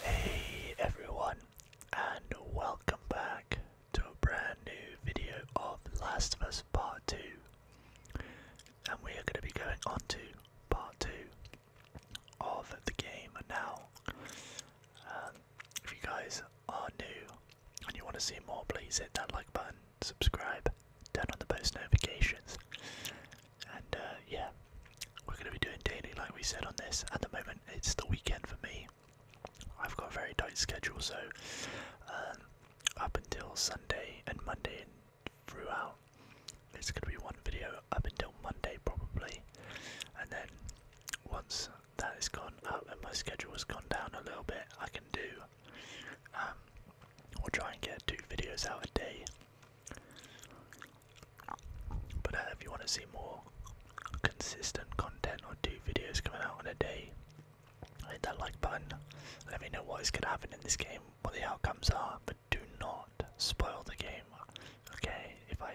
Hey everyone, and welcome back to a brand new video of Last of Us Part 2. And we are going to be going on to Part 2 of the game and now. Um, if you guys are new and you want to see more, please hit that like button, subscribe, turn on the post notifications, and uh, yeah, we're going to be doing daily like we said on this. At the moment, it's the weekend for me. I've got a very tight schedule, so um, up until Sunday and Monday throughout. It's going to be one video up until Monday probably, and then once that has gone up and my schedule has gone down a little bit, I can do. Um, we'll try and get two videos out a day. But uh, if you want to see more consistent content or two videos coming out on a day, hit that like button. Let me know what is going to happen in this game, what the outcomes are, do not spoil the game. Okay, if I.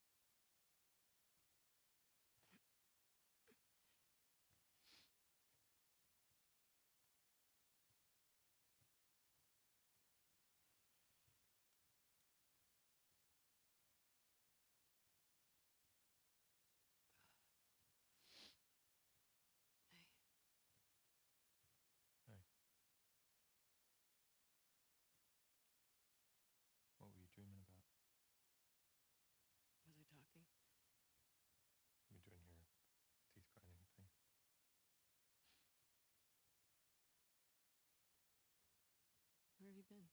What were you dreaming about? Was I talking? You're doing your teeth grinding thing. Where have you been?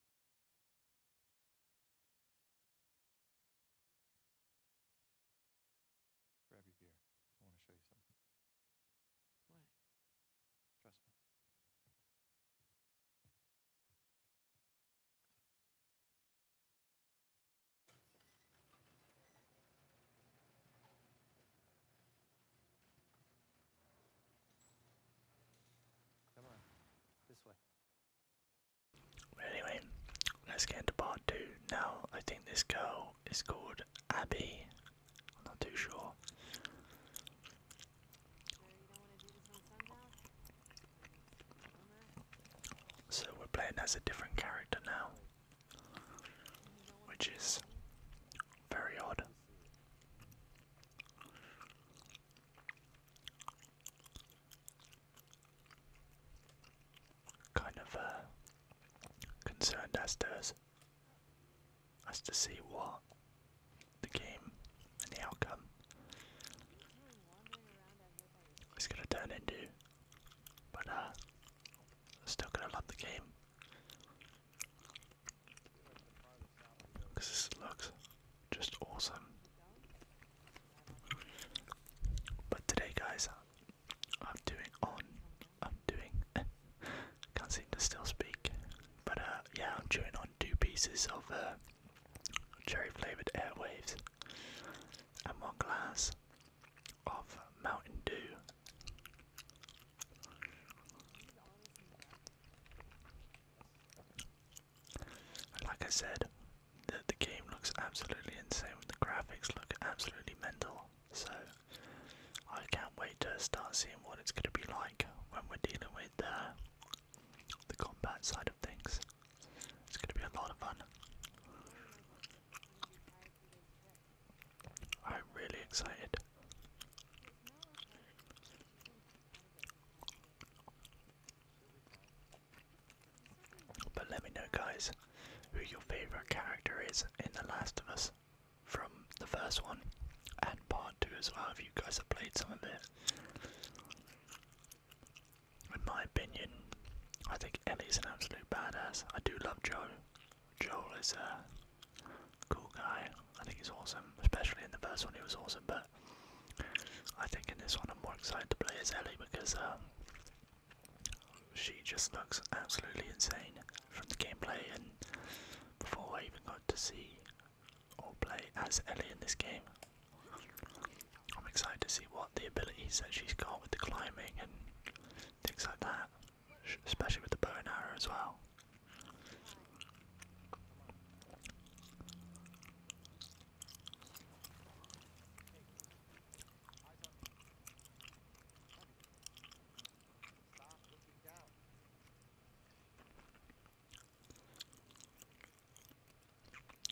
Grab your gear. I want to show you something. What? Trust me. Anyway, let's get into part two. Now, I think this girl is called Abby. I'm not too sure. So we're playing as a different character now, which is very odd. Kind of uh, concerned as to as to see what the game and the outcome. It's gonna turn into, but uh, still gonna love the game because this looks just awesome. But today, guys, I'm doing on. I'm doing. Can't seem to still speak, but uh, yeah, I'm chewing on two pieces of uh, cherry flavoured airwaves, and one glass of Mountain Dew. Like I said, the, game looks absolutely insane, the graphics look absolutely mental, so I can't wait to start seeing what it's going to be like when we're dealing with the. Uh, the combat side of things. It's going to be a lot of fun. I'm really excited. But let me know, guys, who your favourite character is in The Last of Us from the first one and part two as well. If you guys have played some of it, in my opinion, I think Ellie's an absolute badass. I do love Joe. Joel is a cool guy. I think he's awesome, especially in the first one. He was awesome, but I think in this one I'm more excited to play as Ellie because um, she just looks absolutely insane from the gameplay, and before I even got to see or play as Ellie in this game. I'm excited to see what the abilities that she's got with the climbing and things like that, especially with the bow and arrow as well.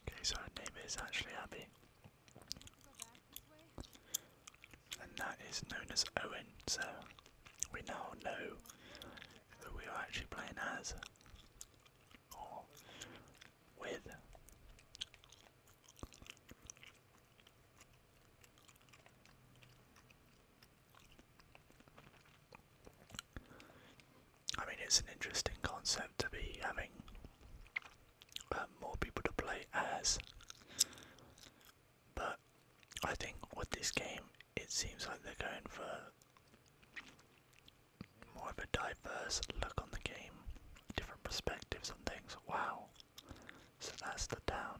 Okay, so her name is actually Abby. And that is known as Owen, so we now know that we are actually playing as. Or with. I mean, it's an interesting concept to be having um, more people to play as, but I think with this game, it seems like they're going for more of a diverse look on the game, different perspectives on things. Wow! So that's the down.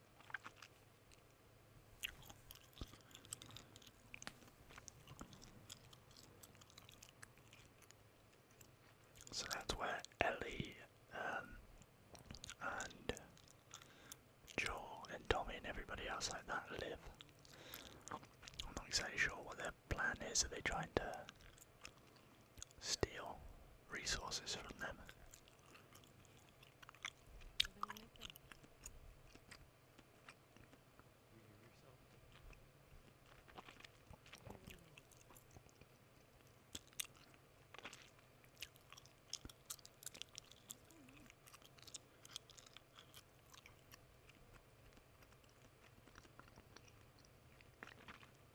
So that's where Ellie um, and Joel and Tommy and everybody else like that live. I'm not exactly sure what their plan is. Are they trying to steal resources from them.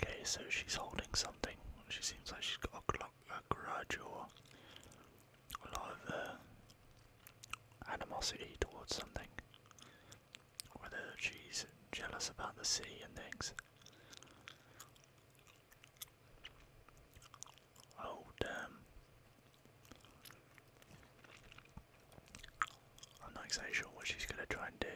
Okay, so she's holding something. She seems like she's got a clock a gradual, or a lot of uh, animosity towards something. Whether she's jealous about the sea and things. Oh damn. Um, I'm not exactly sure what she's gonna try and do.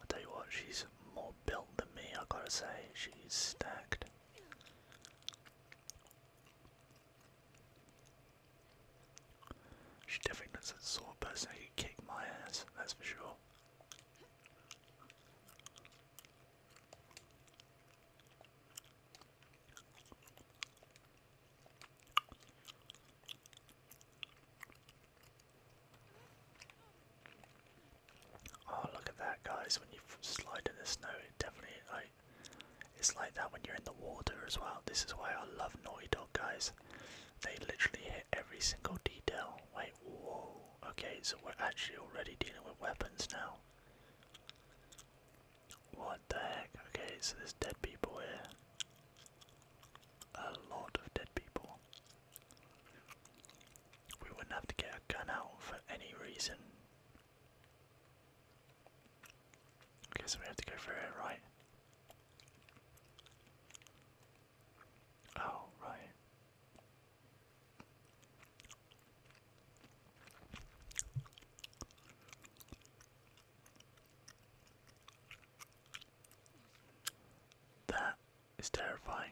I'll tell you what, she's more built than me, I gotta say, she's stacked. She definitely looks like the sort of person who could kick my ass, that's for sure. Oh, look at that, guys! When you slide in the snow, it definitely like it's like that when you're in the water as well. This is why I love Naughty Dog, guys. They literally every single detail. Wait, whoa. Okay, so we're actually already dealing with weapons now. What the heck? Okay, so there's dead people here. A lot of dead people. We wouldn't have to get a gun out for any reason. Okay, so we have to go through it, right? Oh, right. That is terrifying.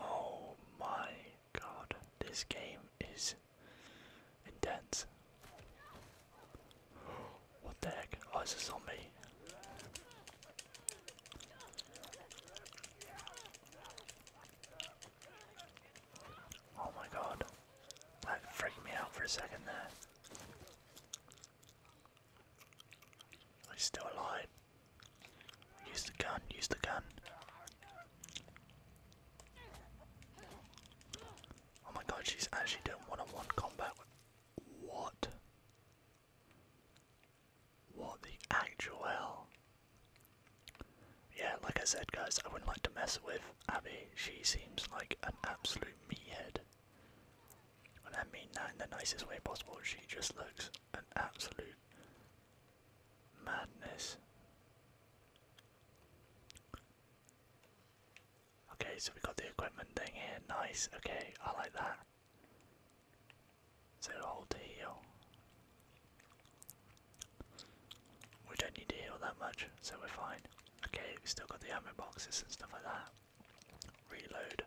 Oh, my god, this game is intense. What the heck? Is oh, it's a zombie. Oh my god. That freaked me out for a second there. i still alive. Use the gun, use the gun. Oh my god, she's actually doing one on one combat What? What the actual hell? Yeah, like I said, guys, I wouldn't like to mess with Abby. She seems like an absolute me head. And I mean that in the nicest way possible. She just looks an absolute Madness. Okay, so we got the equipment thing here. Nice. Okay, I like that. So hold to heal. We don't need to heal that much, so we're fine. Okay, we still got the ammo boxes and stuff like that. Reload.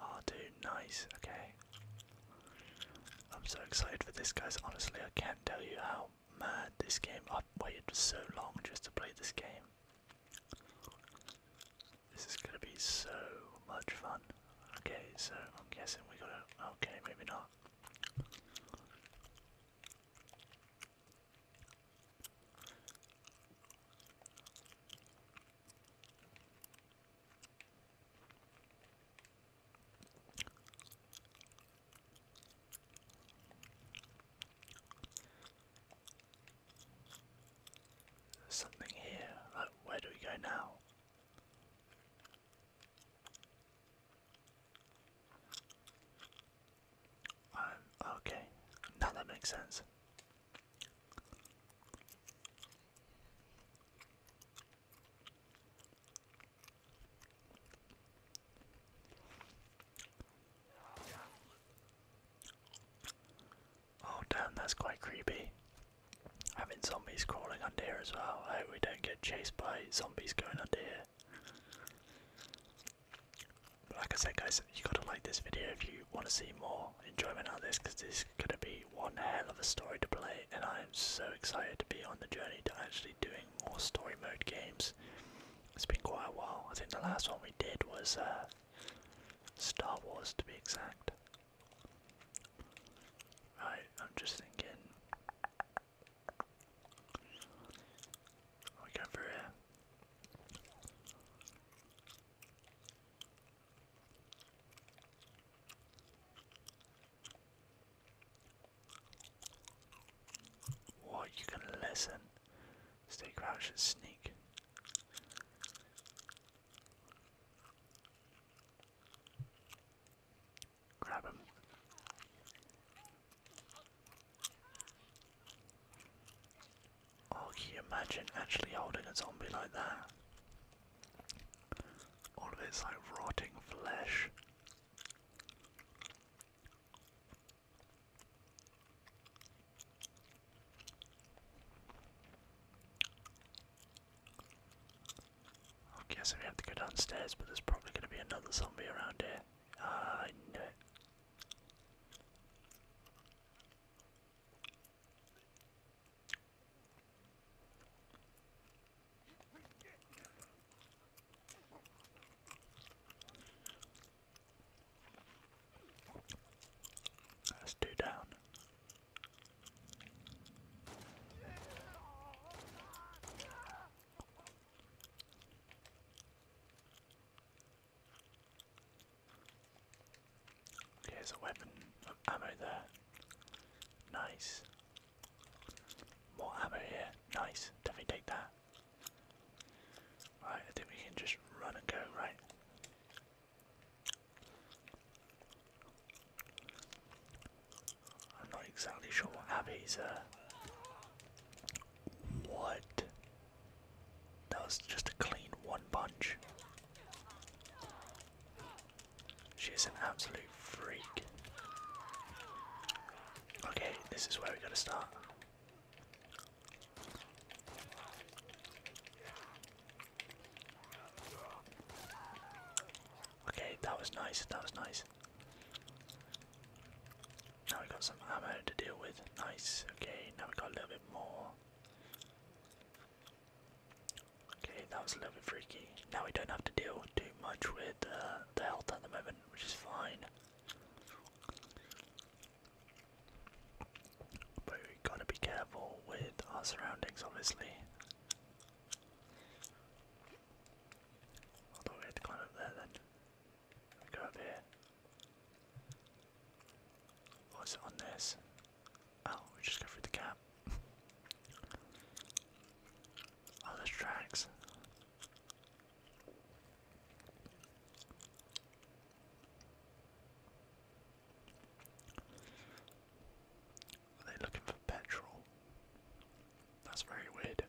Oh, dude, nice. Okay. I'm so excited for this, guys. Honestly, I can't tell you how mad this game. I've waited so long just to play this game. This is gonna be so much fun. Okay, so I'm guessing we gotta. Okay, maybe not. There's something here. Uh, where do we go now? Um, okay, now that makes sense. Oh damn, that's quite creepy. Having zombies crawling under here as well. I hope we don't get chased by zombies going under here. But like I said guys, you gotta like this video if you want to see more enjoyment out this because this is going to be one hell of a story to play, and I am so excited to be on the journey to actually doing more story mode games. It's been quite a while. I think the last one we did was uh, Star Wars, to be exact. Right, I'm just thinking. we going through here? What, you can listen? Stay crouched and sneak. Grab him. Oh, can you imagine actually holding a zombie like that? All of it's like rotting flesh. I guess we have to go downstairs, but there's probably going to be another zombie around here. Ah, I knew it. That's two down there's a weapon of ammo there. Nice. More ammo here. Nice. Definitely take that. Right, I think we can just run and go, right? I'm not exactly sure what Abby's uh what? That was just a clean one punch. She is an absolute freak. Okay, this is where we gotta start. Okay, that was nice, that was nice. Now we got some ammo to deal with. Nice. Okay, now we got a little bit more. Okay, that was a little bit freaky. Now we don't have to deal too much with uh, the health at the moment, which is fine. But we gotta be careful with our surroundings, obviously. I thought we had to climb up there then. We go up here. What's on this? Oh, we just go through the gap. Oh, there's tracks. Are they looking for petrol? That's very weird.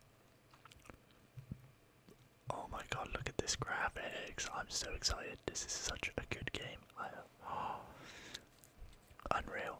Oh my god, look at this graphics. I'm so excited. This is such a good game. Unreal.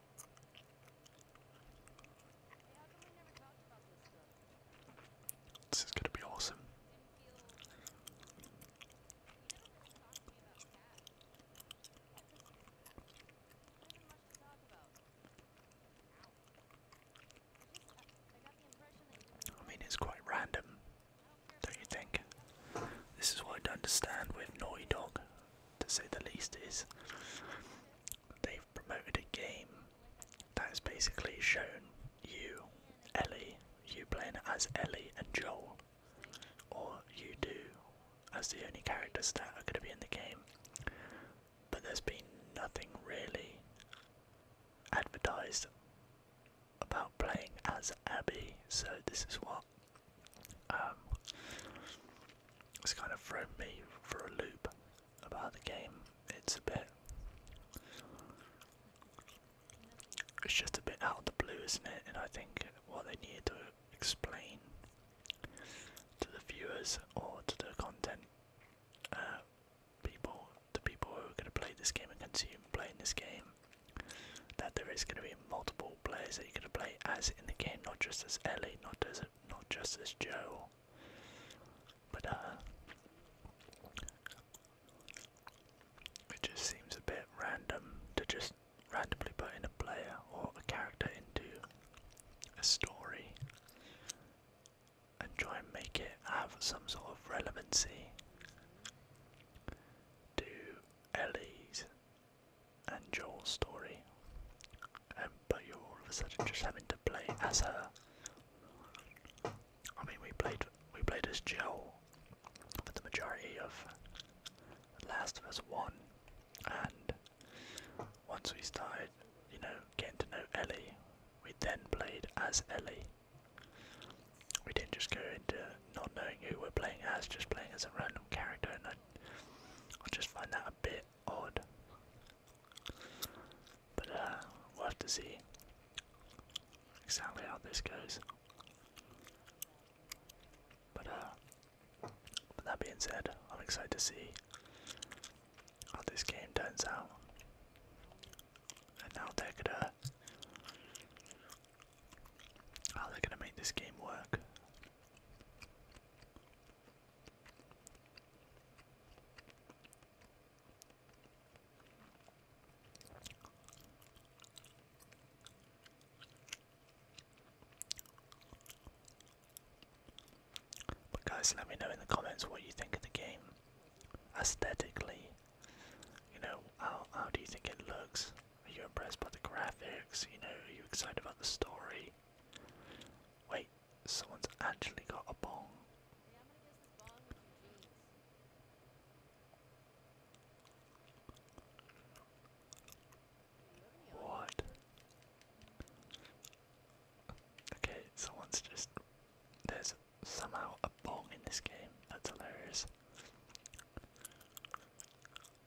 This is going to be awesome. I mean, it's quite random, don't you think? This is what I don't understand with Naughty Dog, to say the least, is they've promoted a game that's basically shown you, Ellie, you playing as Ellie and Joel, or you do as the only characters that are going to be in the game. But there's been nothing really advertised about playing as Abby, so this is what um, it's kind of thrown me for a loop about the game. It's a bit. It's just a bit out of the blue, isn't it? And I think what they need to explain to the viewers or to the content uh, people, to people who are going to play this game and consume playing this game, that there is going to be multiple players that you're going to play as in the game, not just as Ellie, not as not just as Joe, but uh, it just seems a bit random to just randomly put in a player or a character into a story and try and make it have some sort of relevancy to Ellie's and Joel's story, um, but you're all of a sudden just having to play as her. I mean, we played we played as Joel for the majority of Last of Us One, and once we started, you know, getting to know Ellie, we then played as Ellie. We didn't just go into not knowing who we're playing as, just playing as a random character, and I, I just find that a bit odd. But uh, we'll have to see exactly how this goes. Uh, but that being said, I'm excited to see how this game turns out. And now they're going gonna make this game work. But guys, let me know in the comments what you think of the game aesthetically. You know, how how do you think it looks? Are you impressed by the graphics? You know, are you excited about the story? Wait, someone's actually got a bong. What? Okay, someone's just. There's somehow a bong in this game. That's hilarious.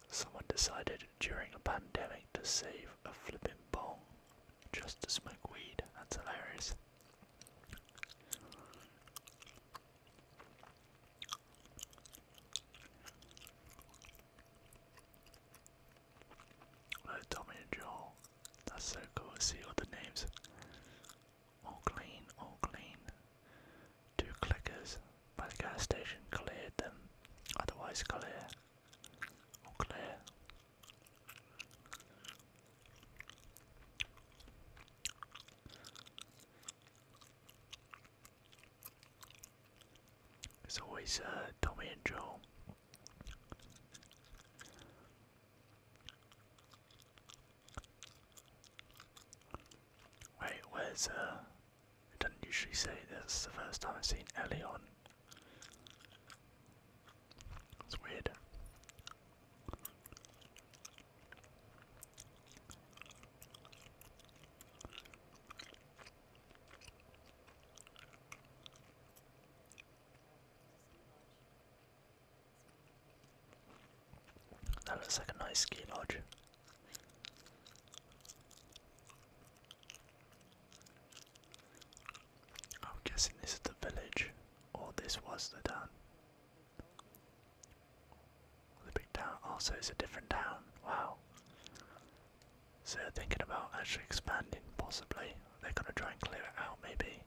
Someone decided during a pandemic to save a flipping bong just to smoke weed. That's hilarious. Hello, Tommy and Joel. That's so cool see all the names. All clean, all clean. Two clickers by the gas station cleared them, otherwise clear. All It's always uh, Tommy and Joel. Wait, where's uh I don't usually say this, the first time I've seen Ellie on. It's weird. That looks like a nice ski lodge. I'm guessing this is the village, or this was the town. The big town. Also, oh, is a different town. Wow. So they're thinking about actually expanding, possibly. They're gonna try and clear it out, maybe.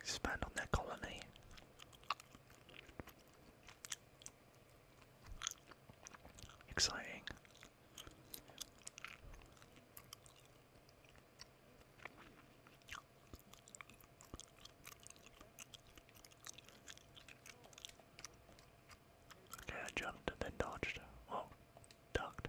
Expand on their colony. Exciting. Okay, I jumped then dodged. Whoa, ducked.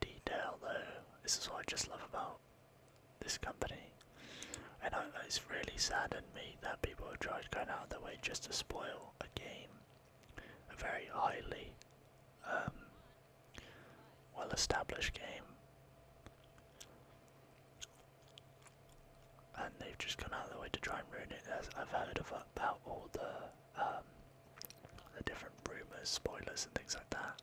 detail though. This is what I just love about this company. And it's really saddened me that people have tried going out of their way just to spoil a game, a very highly um, well established game. And they've just gone out of their way to try and ruin it. As I've heard about all the um, the different rumours, spoilers, and things like that.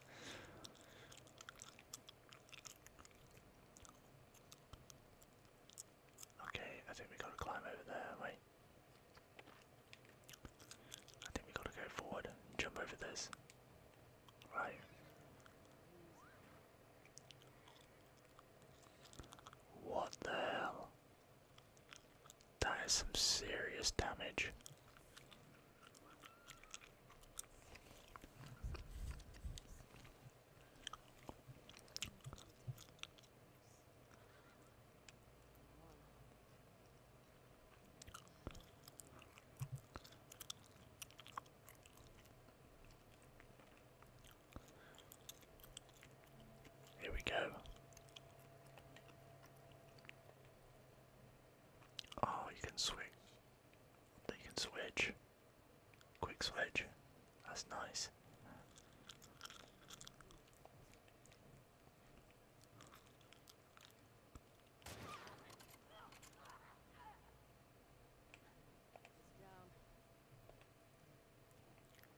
Okay, I think we gotta climb over there, wait. I think we gotta go forward jump over this. Right. What the hell? That is some serious damage. Here we go. Oh, you can swing. You can switch. Quick switch. That's nice.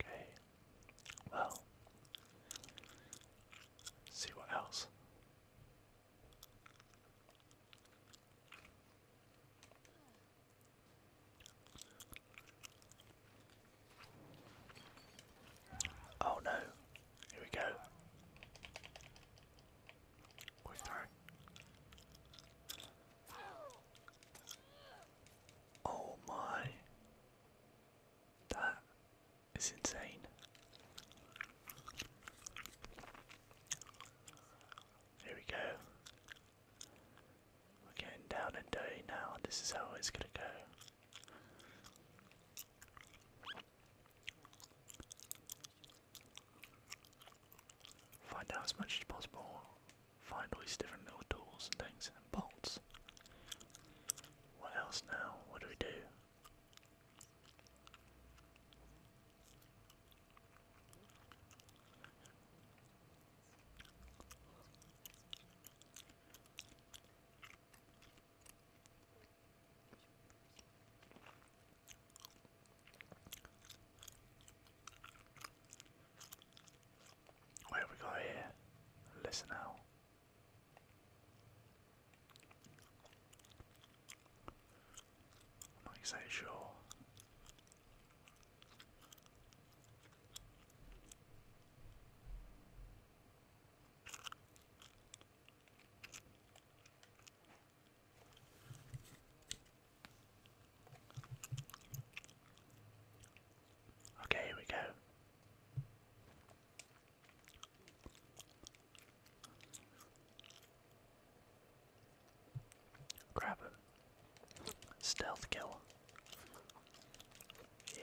Okay. Well, let's see what else. Oh no, here we go. Quick throw. Oh my. That is insane. Here we go. We're getting down and dirty now. This is how it's gonna go. Find out as much as possible find all these different little tools and things and bolts. What else now? What do we do? What have we got here? Listen out. am not exactly sure. Okay, here we go. Grab him. Stealth kill. Yeah.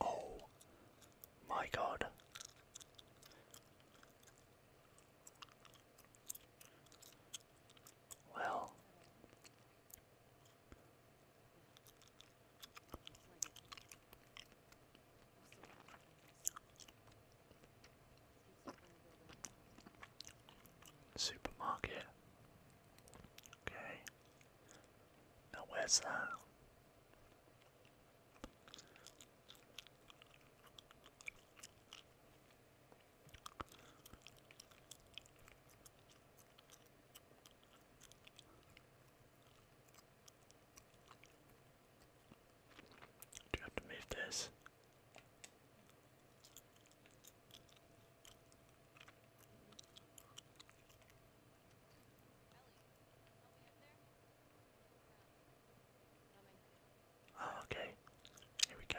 Oh, my God. Well, Supermarket. Okay. Now where's that? Do you have to move this? Oh, okay. Here we go.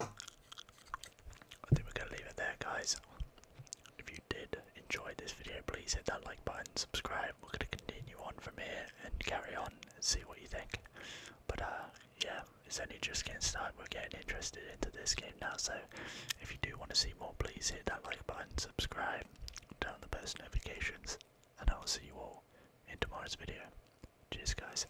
I think we're going to leave it there, guys. If you did enjoy this video, please hit that like button, subscribe. We're going to continue on from here and carry on see what you think. But uh, yeah, it's only just getting started. We're getting interested into this game now. So if you do want to see more, please hit that like button, subscribe, turn on the post notifications, and I will see you all in tomorrow's video. Cheers, guys.